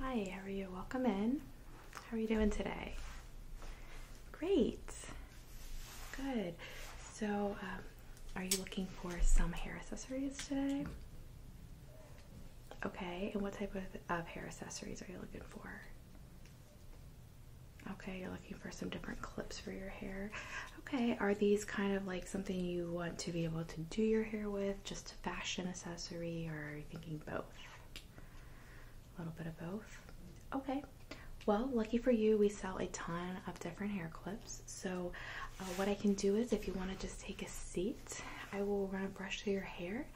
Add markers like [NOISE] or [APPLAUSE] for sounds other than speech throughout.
Hi, how are you? Welcome in. How are you doing today? Great. Good. So, um, are you looking for some hair accessories today? Okay, and what type of hair accessories are you looking for? Okay, you're looking for some different clips for your hair. Okay, are these kind of like something you want to be able to do your hair with? just a fashion accessory, or are you thinking both? A little bit of both. Okay. Well, lucky for you, we sell a ton of different hair clips. So, uh, what I can do is if you want to just take a seat, I will run a brush through your hair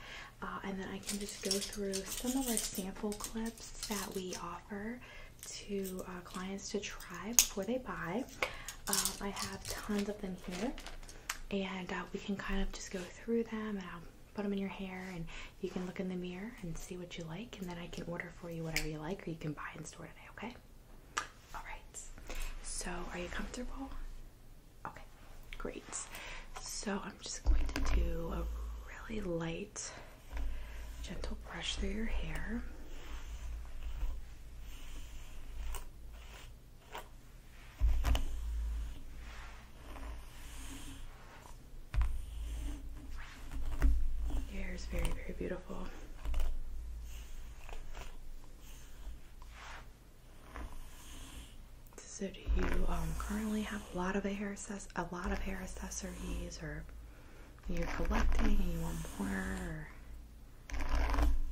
uh, and then I can just go through some of our sample clips that we offer to uh, clients to try before they buy. Um, I have tons of them here, and uh, we can kind of just go through them and I'll put them in your hair, and you can look in the mirror and see what you like, and then I can order for you whatever you like, or you can buy in store today, okay? All right. So, are you comfortable? Okay, great. So, I'm just going to do a really light, gentle brush through your hair. The hair is very, very beautiful. So do you um, currently have a lot of hair a lot of hair accessories or you're collecting and you want more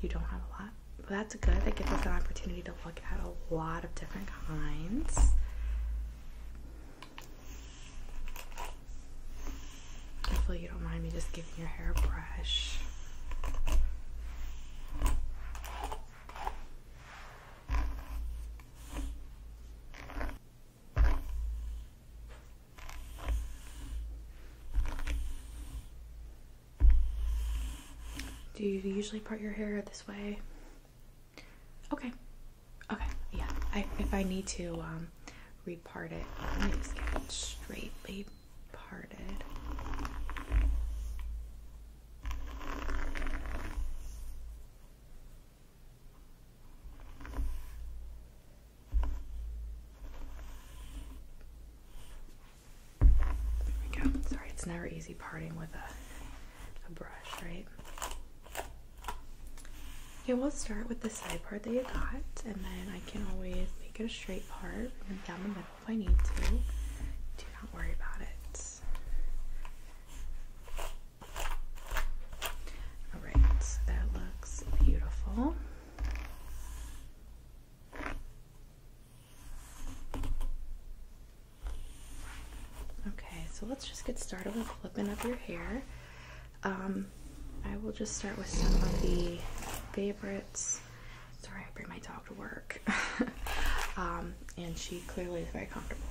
you don't have a lot. But that's good. That gives us an opportunity to look at a lot of different kinds. Hopefully, you don't mind me just giving your hair a brush. Do you usually part your hair this way? Okay. Okay. Yeah. I, if I need to um, repart it, let me just get it straightly parted. Sorry, it's never easy parting with a, a brush, right? Okay, we'll start with the side part that you got, and then I can always make it a straight part down the middle if I need to. Do not worry about it. All right, that looks beautiful. Okay, so let's just get started with flipping up your hair. Um, I will just start with some of the favorites. Sorry, I bring my dog to work. [LAUGHS] Um, and she clearly is very comfortable.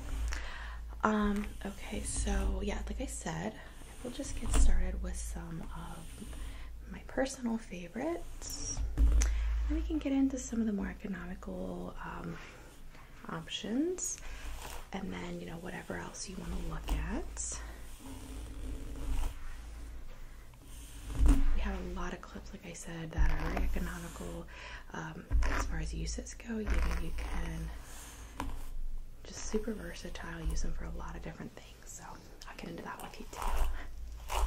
Um, okay, so yeah, like I said, we will just get started with some of my personal favorites we can get into some of the more economical um, options, and then you know whatever else you want to look at. We have a lot of clips, like I said, that are very economical um, as far as uses go. You know, you can just super versatile, use them for a lot of different things. So I can do that with you too.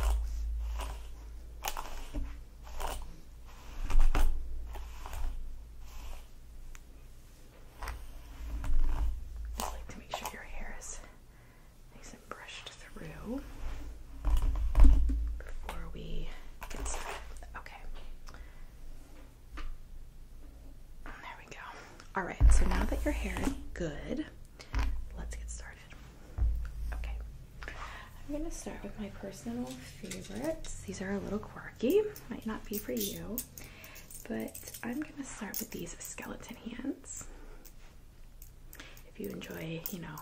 Just like to make sure your hair is nice and brushed through before we get started. Okay. There we go. Alright, so now that your hair is good, let's get started. Okay. I'm going to start with my personal favorites. These are a little quirky, might not be for you, but I'm going to start with these skeleton hands. If you enjoy, you know,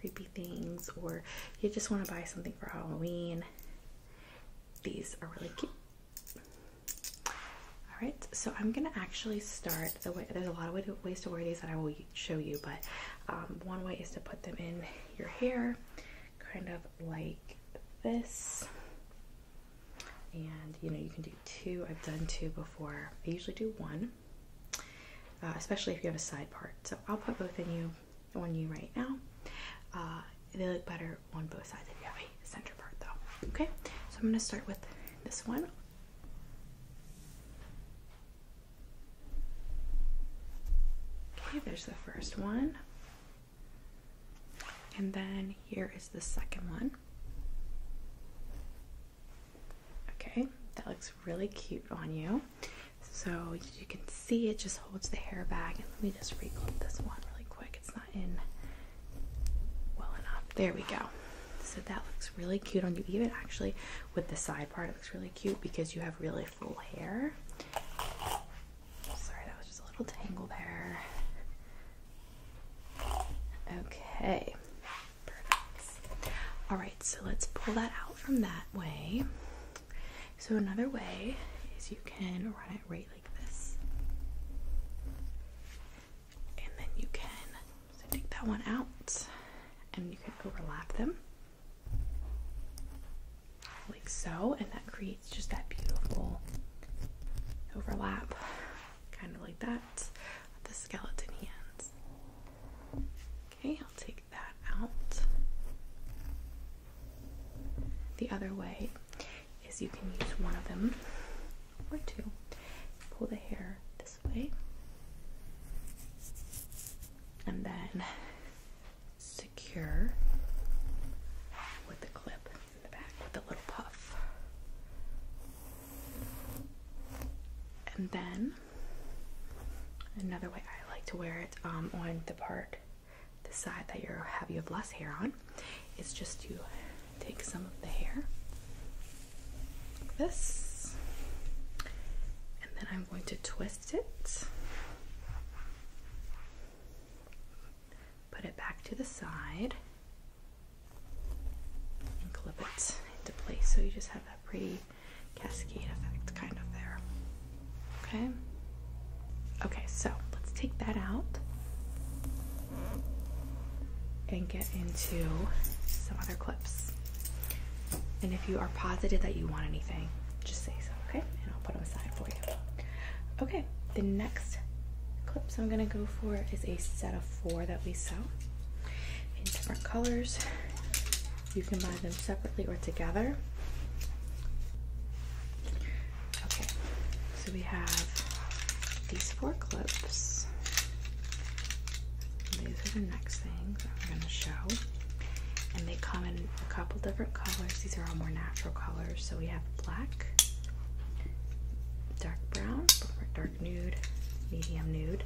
creepy things or you just want to buy something for Halloween, these are really cute. All right, so I'm gonna actually start the way. There's a lot of ways to wear these that I will show you, but um, one way is to put them in your hair, kind of like this. And you know, you can do two. I've done two before. I usually do one, uh, especially if you have a side part. So I'll put both in you on you right now. Uh, they look better on both sides if you have a center part, though. Okay, so I'm gonna start with this one. Okay, there's the first one. And then here is the second one. Okay, that looks really cute on you. So you can see it just holds the hair back. And let me just reclip this one really quick. It's not in well enough. There we go. So that looks really cute on you. Even actually with the side part, it looks really cute because you have really full hair. Sorry, that was just a little tangle there. Okay, perfect. All right, so let's pull that out from that way. So another way is you can run it right like this. And then you can so take that one out and you can overlap them like so, and that creates just that beautiful overlap, kind of like that, the skeleton hands. Okay, I'll take that out. The other way is you can use one of them or two, pull the hair and then secure with the clip with a little puff. And then another way I like to wear it um, on the part, the side that you have you have less hair on, is just to take some of the hair like this, and then I'm going to twist it, put it back to the side, and clip it into place. So you just have that pretty cascade effect kind of there. Okay. Okay, so let's take that out and get into some other clips. And if you are positive that you want anything, just say so, okay? And I'll put them aside for you. Okay, the next clips I'm gonna go for is a set of four that we sell in different colors. You can buy them separately or together. Okay, so we have these four clips these are the next things I'm going to show. And they come in a couple different colors. These are all more natural colors. So we have black, dark brown, dark nude, medium nude,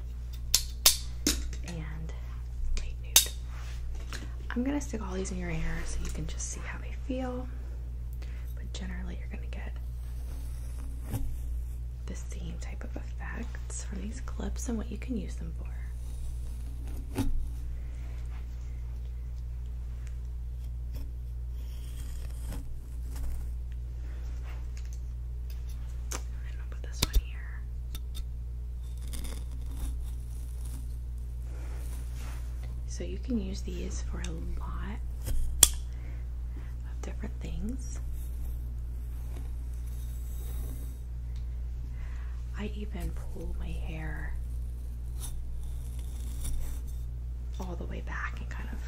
and light nude. I'm going to stick all these in your hair so you can just see how they feel. But generally, you're going to get the same type of effects from these clips and what you can use them for. And I'll put this one here. So you can use these for a lot different things. I even pull my hair all the way back and kind of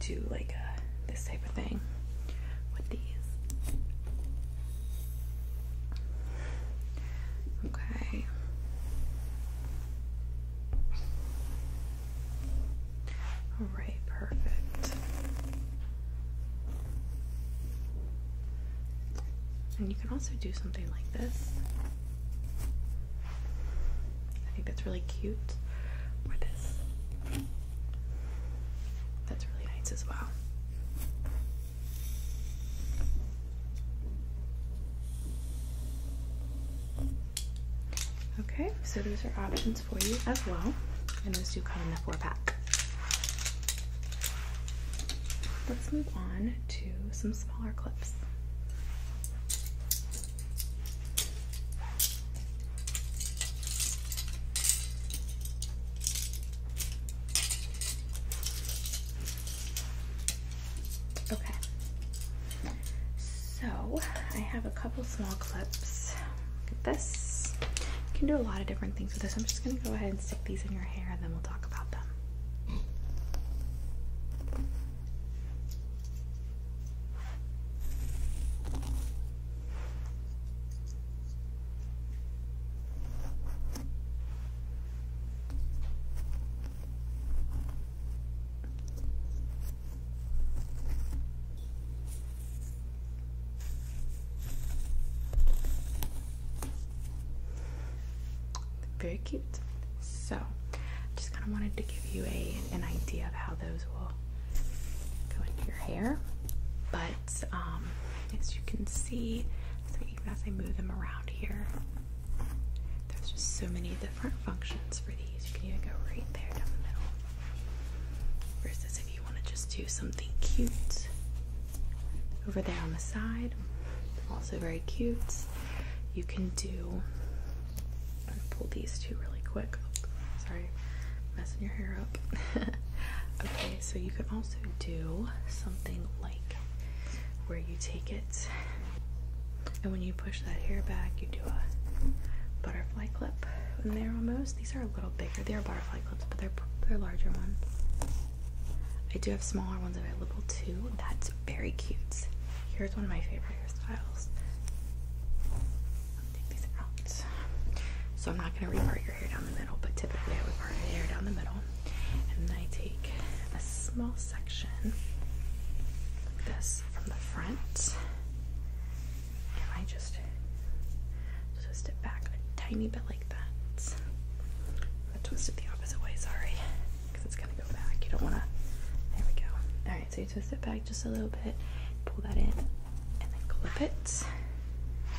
do like this type of thing with these. Okay. All right, perfect. And you can also do something like this. I think that's really cute. Or this. That's really nice as well. Okay, so those are options for you as well. And those do come in the four pack. Let's move on to some smaller clips. Okay, so I have a couple small clips. this. You can do a lot of different things with this. I'm just gonna go ahead and stick these in your hair and then we'll talk about them. Very cute. So, I just kind of wanted to give you a an idea of how those will go into your hair. But um, as you can see, even as I move them around here, there's just so many different functions for these. You can even go right there down the middle. Versus if you you want to just do something cute over there on the side, also very cute. You can do, pull these two really quick. Oh, sorry, messing your hair up. [LAUGHS] okay, so you can also do something like where you take it and when you push that hair back, you do a butterfly clip in there almost. These are a little bigger, they're butterfly but they're they're larger ones. I do have smaller ones available too. That's very cute. Here's one of my favorite hairstyles. take these out. So I'm not gonna re-part your hair down the middle, but typically I would part your hair down the middle, and then I take a small section like this from the front and I just twist it back a tiny bit like that. I'm gonna twist it the opposite way, sorry, because it's gonna go back. You don't wanna. There we go. Alright, so you twist it back just a little bit, pull that in, and then clip it.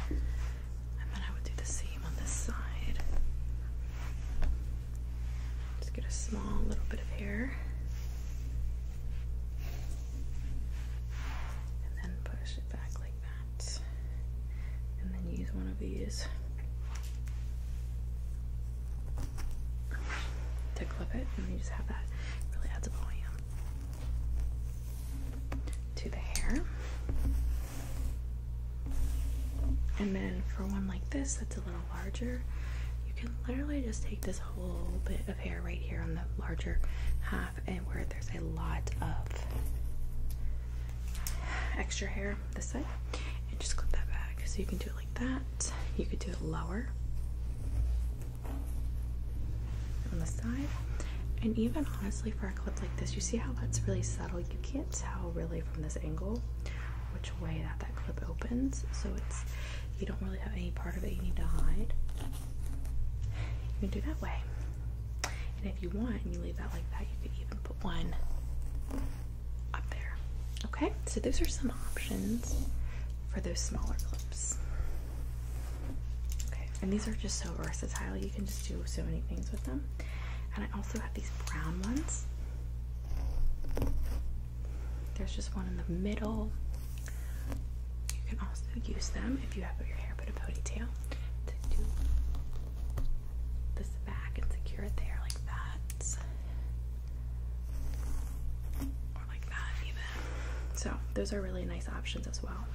And then I would do the same on this side. Just get a small little bit of hair. And then push back like that and then use one of these to clip it and you just have that really adds volume to the hair and then for one like this that's a little larger you can literally just take this whole bit hair right here on the larger half and where there's a lot of extra hair this side and just clip that back so you can do it like that you could do it lower on the side and even honestly for a clip like this you see how that's really subtle you can't tell really from this angle which way that that clip opens so it's you don't really have any part of it you need to hide you can do that way and if you want, and you leave that like that, you could even put one up there. Okay, so those are some options for those smaller clips. Okay, and these are just so versatile. You can just do so many things with them. And I also have these brown ones. There's just one in the middle. You can also use them if you have your hair put a ponytail to do this back and secure it there like that. Or like that even. So those are really nice options as well.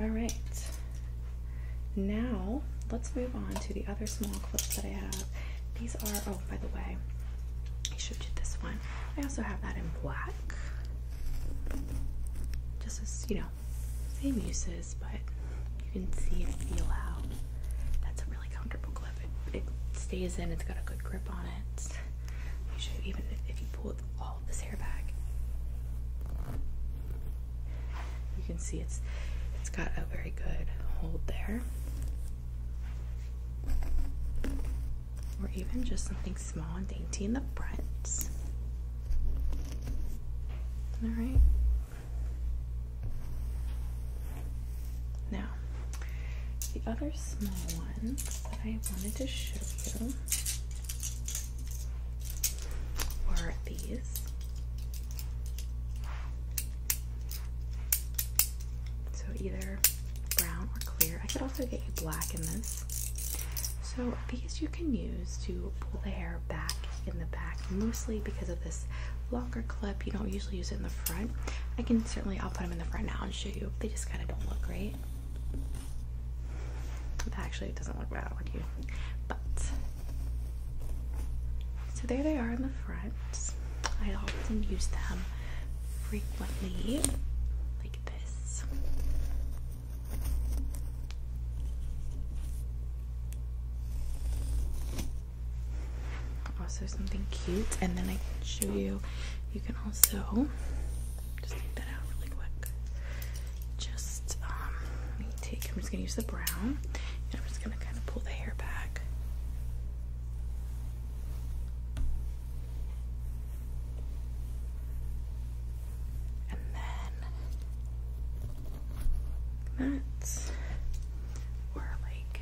Alright. Now let's move on to the other small clips that I have. These are Oh, by the way I showed you this one I also have that in black just as you know same uses but you can see and feel how that's a really comfortable clip it, stays in it's got a good grip on it you should even if you pull all this hair back you can see it's it's got a very good hold there or even just something small and dainty in the front. Alright. Now, the other small ones that I wanted to show you were these. So either brown or clear. I could also get you black in this. So these you can use to pull the hair back in the back, mostly because of this longer clip. You don't usually use it in the front. I can certainly, I'll put them in the front now and show you. They just kind of don't look great. Actually, it doesn't look bad on you, but so there they are in the front. I often use them frequently, like this. Also, something cute, and then I can show you. You can also just take that out really quick. Just um, let me take. I'm just gonna use the brown, and I'm just gonna kind of pull the hair back. And then that's or like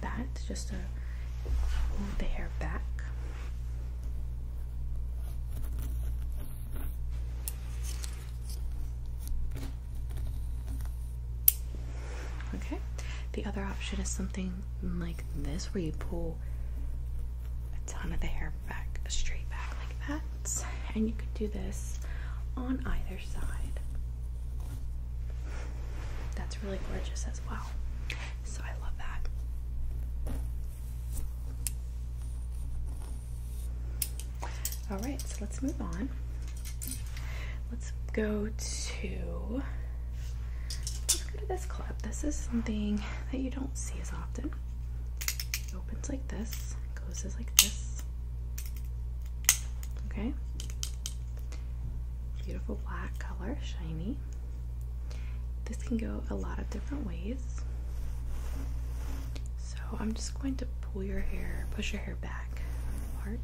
that, just to move the hair back. Okay, the other option is something like this where you pull a ton of the hair back straight back like that and you can do this on either side that's really gorgeous as well so I love that all right so let's move on Let's go to this clip. This is something that you don't see as often. It opens like this, closes like this. Okay. Beautiful black color, shiny. This can go a lot of different ways. So I'm just going to pull your hair, push your hair back apart.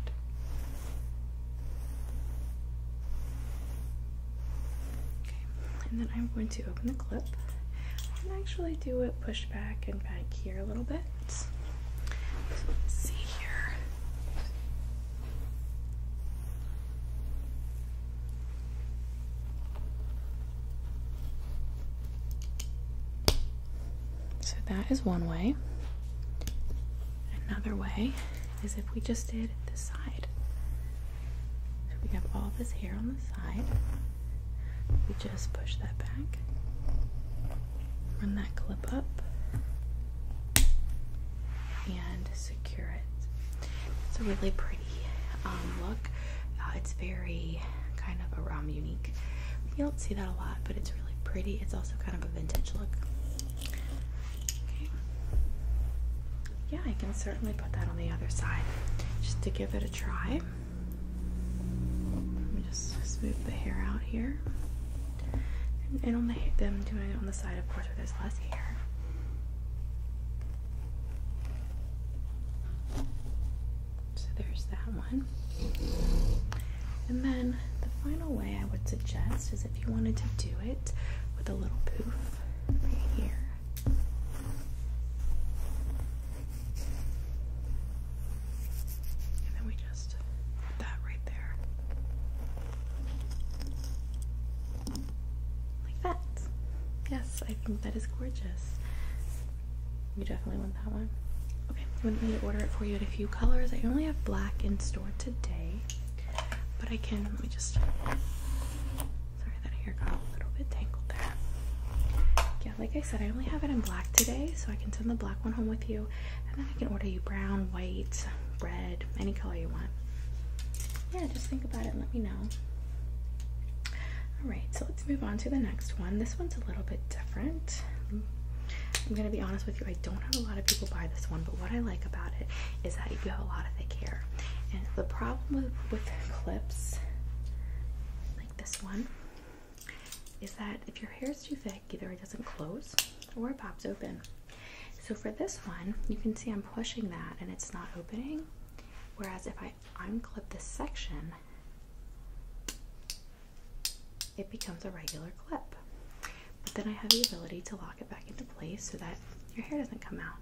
Okay, and then I'm going to open the clip and actually do it push back and back here a little bit. So let's see here. So that is one way. Another way is if we just did this side. So we have all this hair on the side. We just push that back, run that clip up, and secure it. It's a really pretty um, look. Uh, it's very kind of a um, unique. You don't see that a lot, but it's really pretty. It's also kind of a vintage look. Yeah, I can certainly put that on the other side just to give it a try. Let me just smooth the hair out here. And, and on the them doing it on the side, of course, where there's less hair. So there's that one. And then the final way I would suggest is if you wanted to do it with a little poof right here. And then we just that right there. Like that. Yes, I think that is gorgeous. You definitely want that one. Okay, I wouldn't need to order it for you in a few colors. I only have black in store today. But I can, let me just, sorry that hair got a little bit tangled there. Yeah, like I said, I only have it in black today, so I can send the black one home with you. And then I can order you brown, white, red, any color you want. Yeah, just think about it and let me know. Alright, so let's move on to the next one. This one's a little bit different. I'm going to be honest with you, I don't have a lot of people buy this one, but what I like about it is that you have a lot of thick hair. And the problem with, with clips like this one is that if your hair is too thick, either it doesn't close or it pops open. So for this one, you can see I'm pushing that and it's not opening. Whereas if I unclip this section, it becomes a regular clip. But then I have the ability to lock it back into place so that your hair doesn't come out.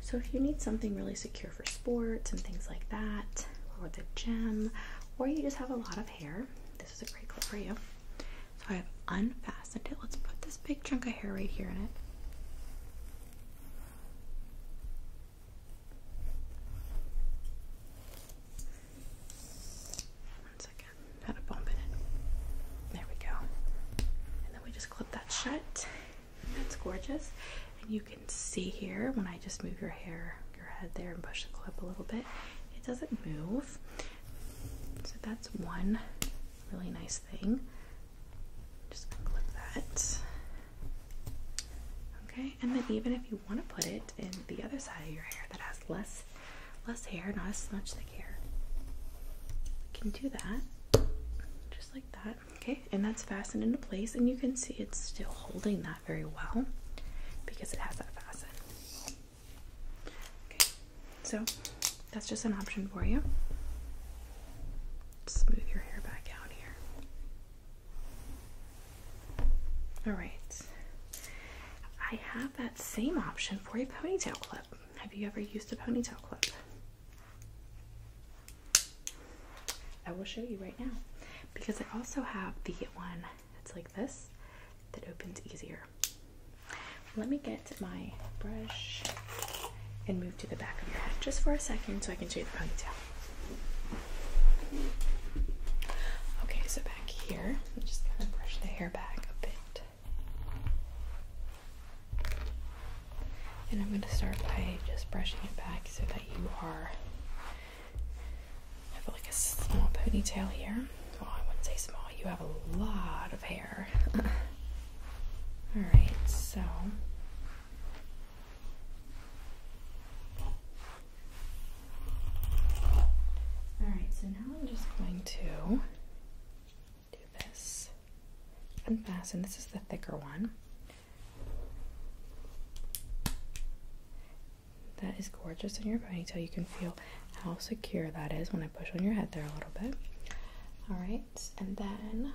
So if you need something really secure for sports and things like that, or the gym, or you just have a lot of hair, this is a great clip for you. So I've unfastened it. Let's put this big chunk of hair right here in it. One second had a bump in it. There we go. And then we just clip that shut. That's gorgeous. And you can see here when I just move your hair, your head there and push the clip a little bit, it doesn't move. So that's one really nice thing. Just clip that. Okay, and then even if you want to put it in the other side of your hair that has less Less hair, not as much thick hair. We can do that just like that. Okay, and that's fastened into place, and you can see it's still holding that very well because it has that fasten. Okay, so that's just an option for you. Smooth your hair back out here. All right, I have that same option for a ponytail clip. Have you ever used a ponytail clip? I will show you right now because I also have the one that's like this that opens easier. Let me get my brush and move to the back of your head just for a second so I can show you the ponytail. Okay, so back here, I'm just gonna brush the hair back a bit. And I'm going to start by just brushing it back so that you are. I have like a small ponytail here. Well, I wouldn't say small, you have a lot of hair. Alright, so. Alright, so now I'm just going to do this. Unfasten. This is the thicker one. That is gorgeous in your ponytail. You can feel how secure that is when I push on your head there a little bit. All right, and then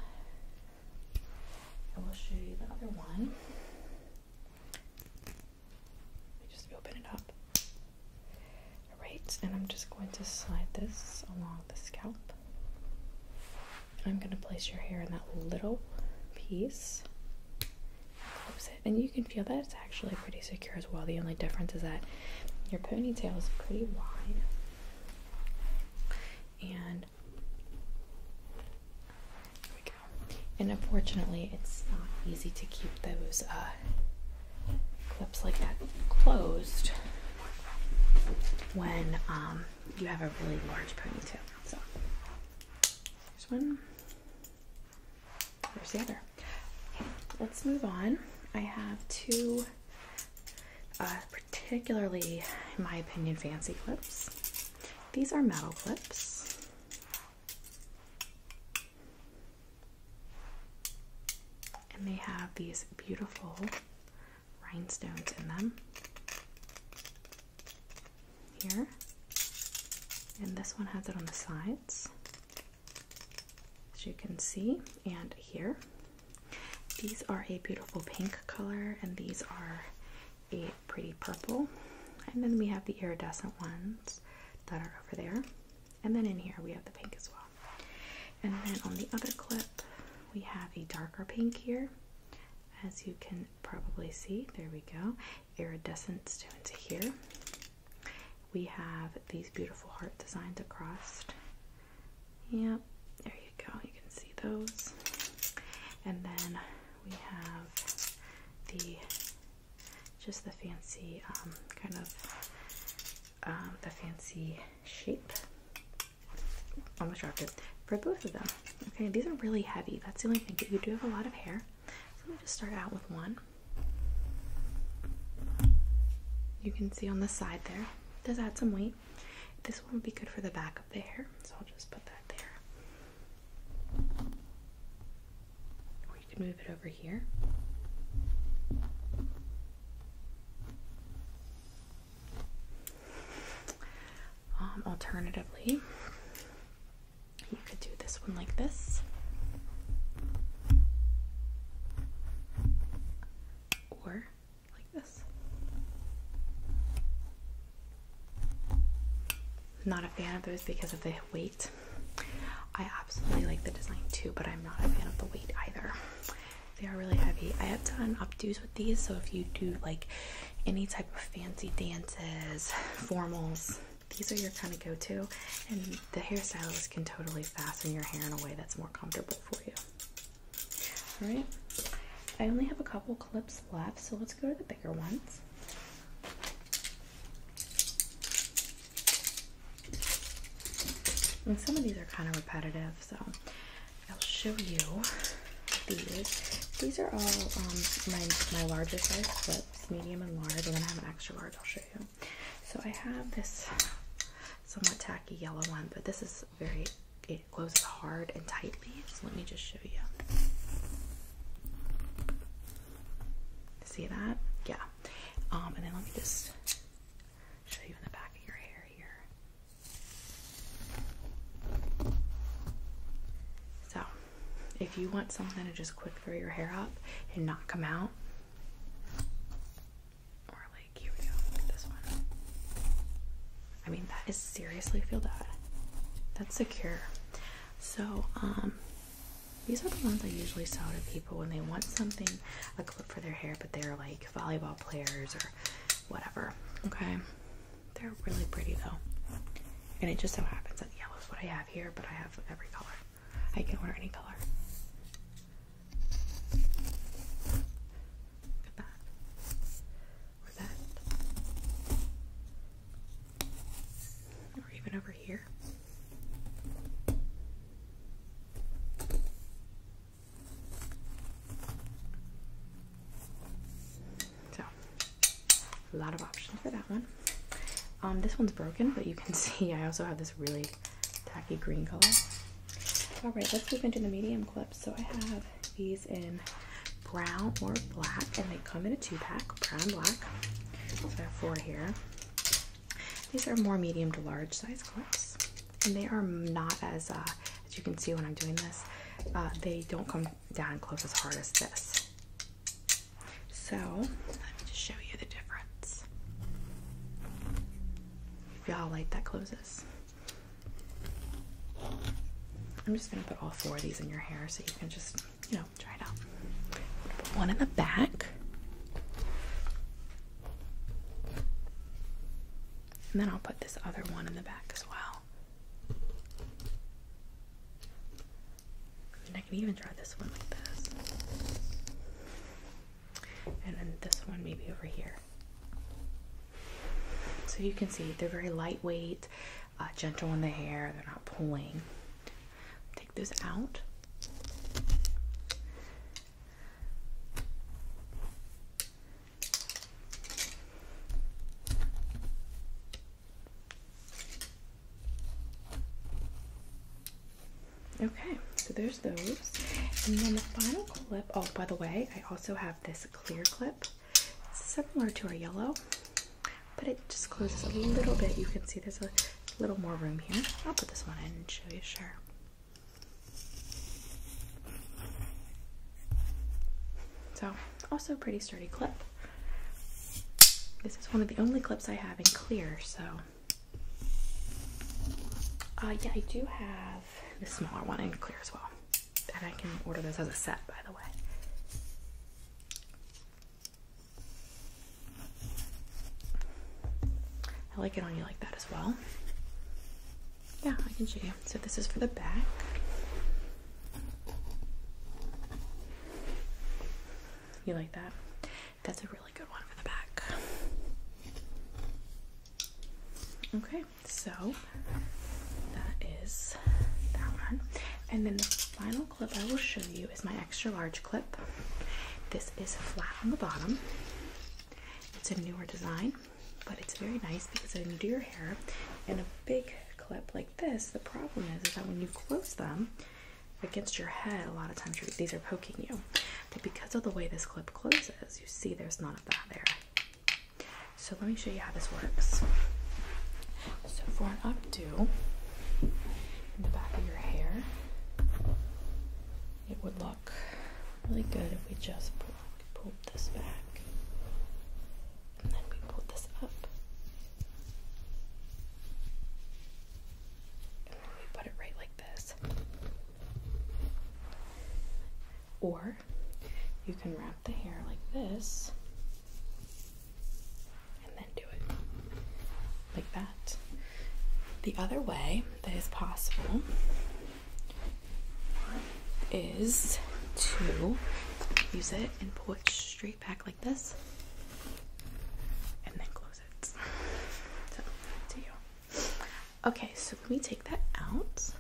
I will show you the other one. Let me just open it up. Right, and I'm just going to slide this along the scalp. I'm going to place your hair in that little piece. Close it, and you can feel that it's actually pretty secure as well. The only difference is that your ponytail is pretty wide. And there we go. And unfortunately, it's not easy to keep those uh, clips like that closed when um, you have a really large ponytail. So there's one. There's the other. Okay, let's move on. I have two uh, particularly, in my opinion, fancy clips. These are metal clips. And they have these beautiful rhinestones in them here. And this one has it on the sides, as you can see, and here. These are a beautiful pink color, and these are a pretty purple. And then we have the iridescent ones that are over there. And then in here we have the pink as well. And then on the other clip, we have a darker pink here. As you can probably see, there we go. Iridescent stones here. We have these beautiful heart designs across. Yep, there you go. You can see those. And then we have the just the fancy um, kind of um, the fancy shape. Almost dropped it. for both of them. Okay, these are really heavy. That's the only thing. But you do have a lot of hair. So let me just start out with one. You can see on the side there. Does add some weight. This one would be good for the back of the hair, so I'll just put that there. Or you can move over here. Um, alternatively, you could do this one like this, or like this. Not a fan of those because of the weight. I absolutely like the design too, but I'm not a fan of the weight either. They are really heavy. I have done updos with these, so if you do like any type of fancy dances, formals, these are your kind of go-to. And the hairstylist can totally fasten your hair in a way that's more comfortable for you. Alright. I only have a couple clips left, so let's go to the bigger ones. And some of these are kind of repetitive, so I'll show you these. These are all um, my, my larger size clips, medium and large, and then I have an extra large I'll show you. So I have this somewhat tacky yellow one, but this is very, it closes hard and tightly, so let me just show you. See that? Yeah. Um, and then let me just show you in the back of your hair here. So, if you want something to just quick throw your hair up and not come out, or like here we go, this one. I mean, that is seriously feel that. That's secure. So, um, these are the ones I usually sell to people when they want something, clip for their hair, but they're like volleyball players or whatever. Okay, they're really pretty though, and it just so happens that yellow is what I have here, but I have every color. I can order any color. Look at that. Or that. Or even over here. So, a lot of options for that one. Um, this one's broken, but you can [LAUGHS] see I also have this really tacky green color. All right, let's move into the medium clips. So I have these in brown or black, and they come in a two pack, brown black. So I have four here. These are more medium to large size clips, and they are not as uh, as you can see when I'm doing this. Uh, they don't come down close as hard as this. So let me just show you the difference. You feel how that closes. I'm just gonna put all four of these in your hair so you can just, you know, try it out. Put one in the back. And then I'll put this other one in the back as well. I can even try this one like this. And then this one maybe over here. So you can see they're very lightweight, uh, gentle in the hair, they're not pulling. Take this out. Okay, so there's those. And then the final clip, oh, by the way, I also have this clear clip. similar to our yellow, but it just closes a little bit. You can see there's a little more room here. I'll put this one in and show you, sure. So, also pretty sturdy clip. This is one of the only clips I have in clear, so. Uh, yeah, I do have the smaller one in clear as well. And I can order those as a set, by the way. I like it on you like that as well. Yeah, I can show you. So this is for the back. You like that? That's a really good one for the back. Okay, so that is that one. And then the final clip I will show you is my extra large clip. This is flat on the bottom it's a newer design, but it's very nice because when you do your hair in a big clip like this, the problem is, is that when you close them against your head, a lot of times these are poking you. But because of the way this clip closes, you see there's none of that there. So let me show you how this works. So for an updo in the back of your hair, it would look really good if we just pull, this back and then we pull this up and we put it right like this or you can wrap the hair like this and then do it like that the other way that is possible is to use it and pull it straight back like this and then close it. So, to you. Okay, so let me take that out.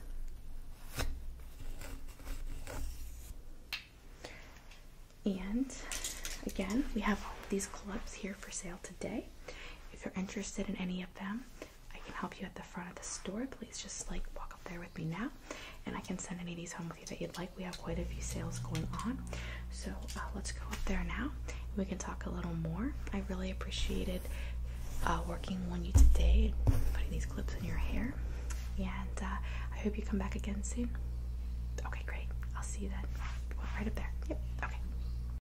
And again, we have these clubs here for sale today. If you're interested in any of them, I can help you at the front of the store. Please just like walk up there with me now, and I can send any of these home with you that you'd like. We have quite a few sales going on, so uh, let's go up there now. we can talk a little more. I really appreciated uh, working on you today putting these clips in your hair. And uh, I hope you come back again soon. Okay, great. I'll see you then. Right up there. Yep. Okay.